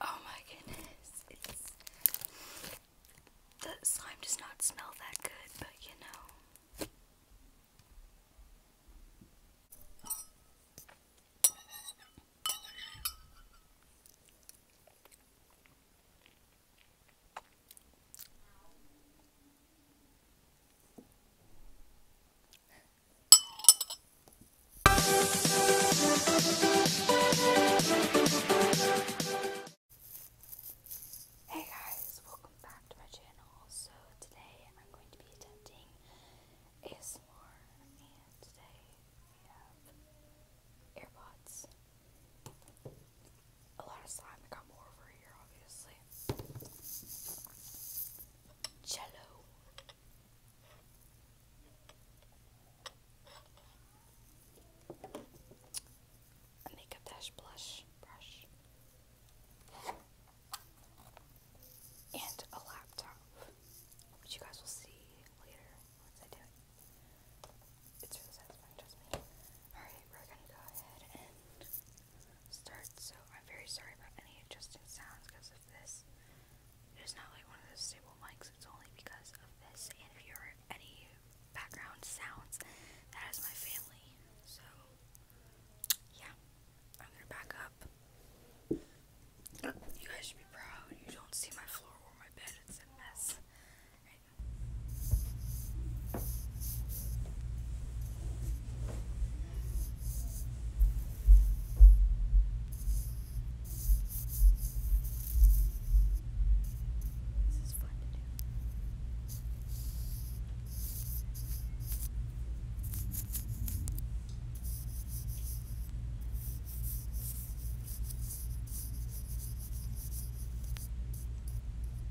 Oh my goodness, the slime does not smell that good, but you know. Hey guys, welcome back to my channel. So today I'm going to be attempting ASMR and today we have AirPods a lot of slime. I got more over here, obviously. Jello. A makeup dash blush brush. And a laptop, which you guys will see later once I do it. It's really satisfying, trust me. Alright, we're gonna go ahead and start. So, I'm very sorry about any adjusting sounds because of this. It is not like one of those stable mics, it's only because of this. And if you are any background sounds, that is my family. So, yeah, I'm gonna back up. You guys should be proud. You don't see my floor or my bed, it's a mess right. This is fun to do. All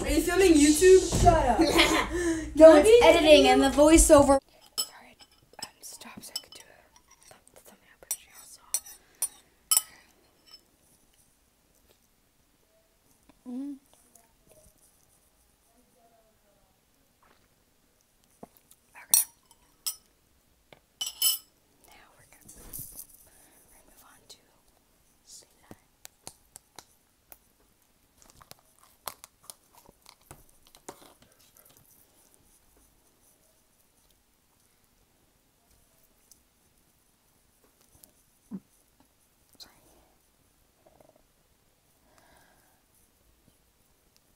Are you filming YouTube? Shut up. it's editing and the voiceover. Um, Okay. Now we're gonna move, on to sleep eye. Sorry.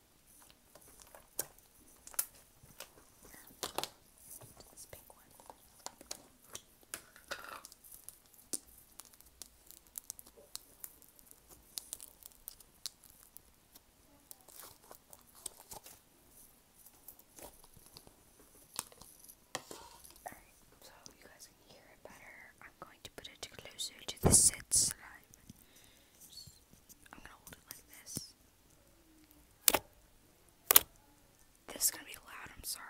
This Alright, so you guys can hear it better. I'm going to put it closer to the set slime. I'm gonna hold it like this. This is gonna be loud, I'm sorry.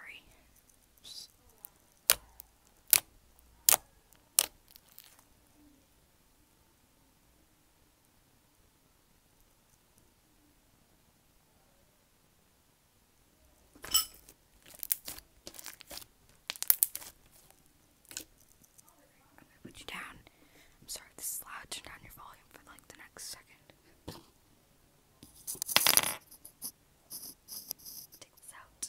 I'm gonna put you down. I'm sorry this is loud. Turn down your volume for like the next second. Take this out.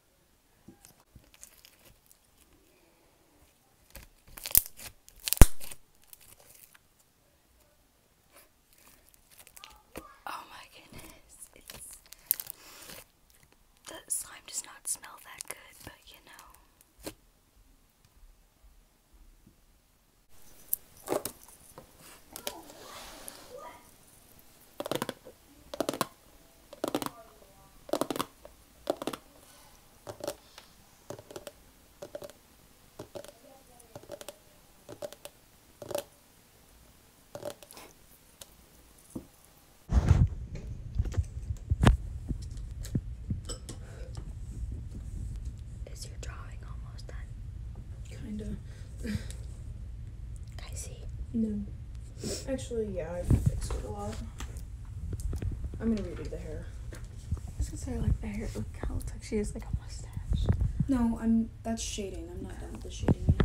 Oh my goodness, it's the slime does not smell that good, but you know. Is your drawing almost done? Kinda. I see. No. Actually, yeah, I fixed it a lot. I'm gonna redo the hair. I was gonna say like the hair. Look how it looks like she has like a mustache. No, I'm. That's shading. I'm not done with the shading yet.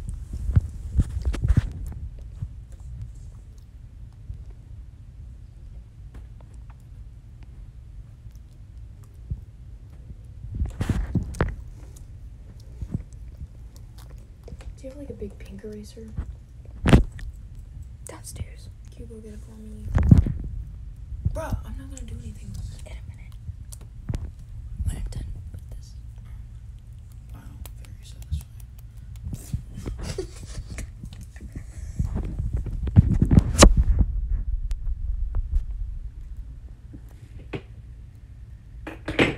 Do you have like a big pink eraser? Downstairs. Can you go get it for Bro, I'm not gonna do anything In a minute. When I'm done this. Wow, very satisfying.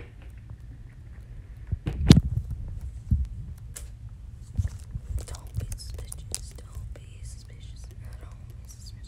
Don't be suspicious. Don't be suspicious. not be suspicious.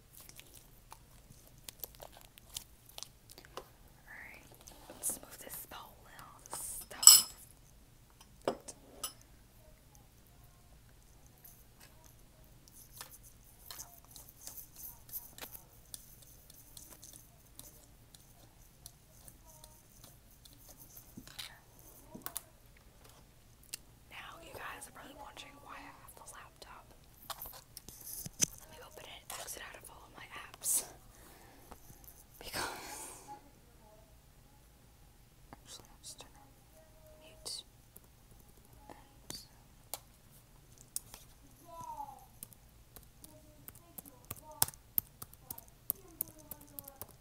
Alright, let's move this bowl and all now you guys are probably wondering why I have the laptop. Let me open it exit out of all of my apps. Because actually I'll just turn on mute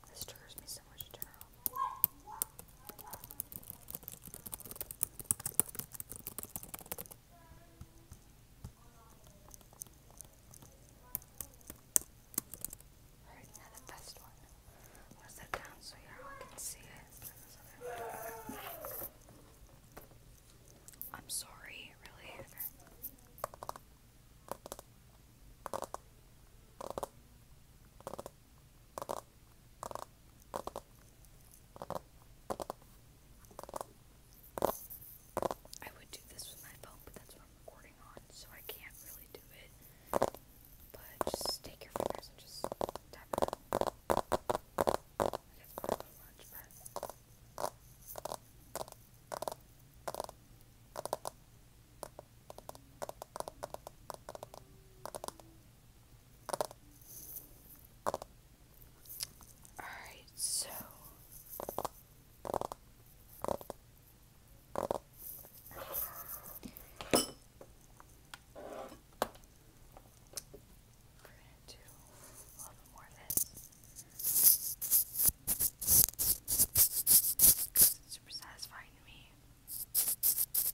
this triggers me so much to Alright, now the best one. I'm down so you all can see it. I'm sorry, really. I would do this with my phone, but that's what I'm recording on, so I can't really do it. But just take your fingers and just tap it I guess probably lunch, but. Alright, so we're to do more this. super satisfying to me.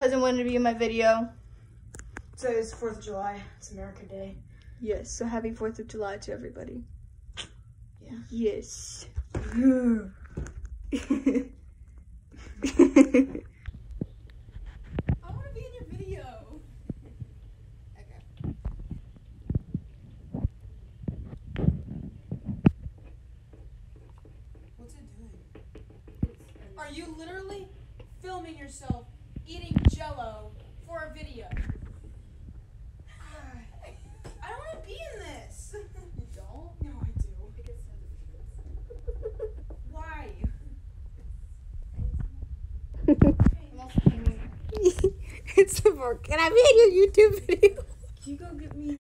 Hasn't wanted to be in my video. So it's 4th of July. It's America Day. Yes, so happy 4th of July to everybody. Yeah. Yes. Are you literally filming yourself eating jello for a video? I don't want to be in this. You don't? No, I do. Why? it's the book, and I'm in your YouTube video. you go get me?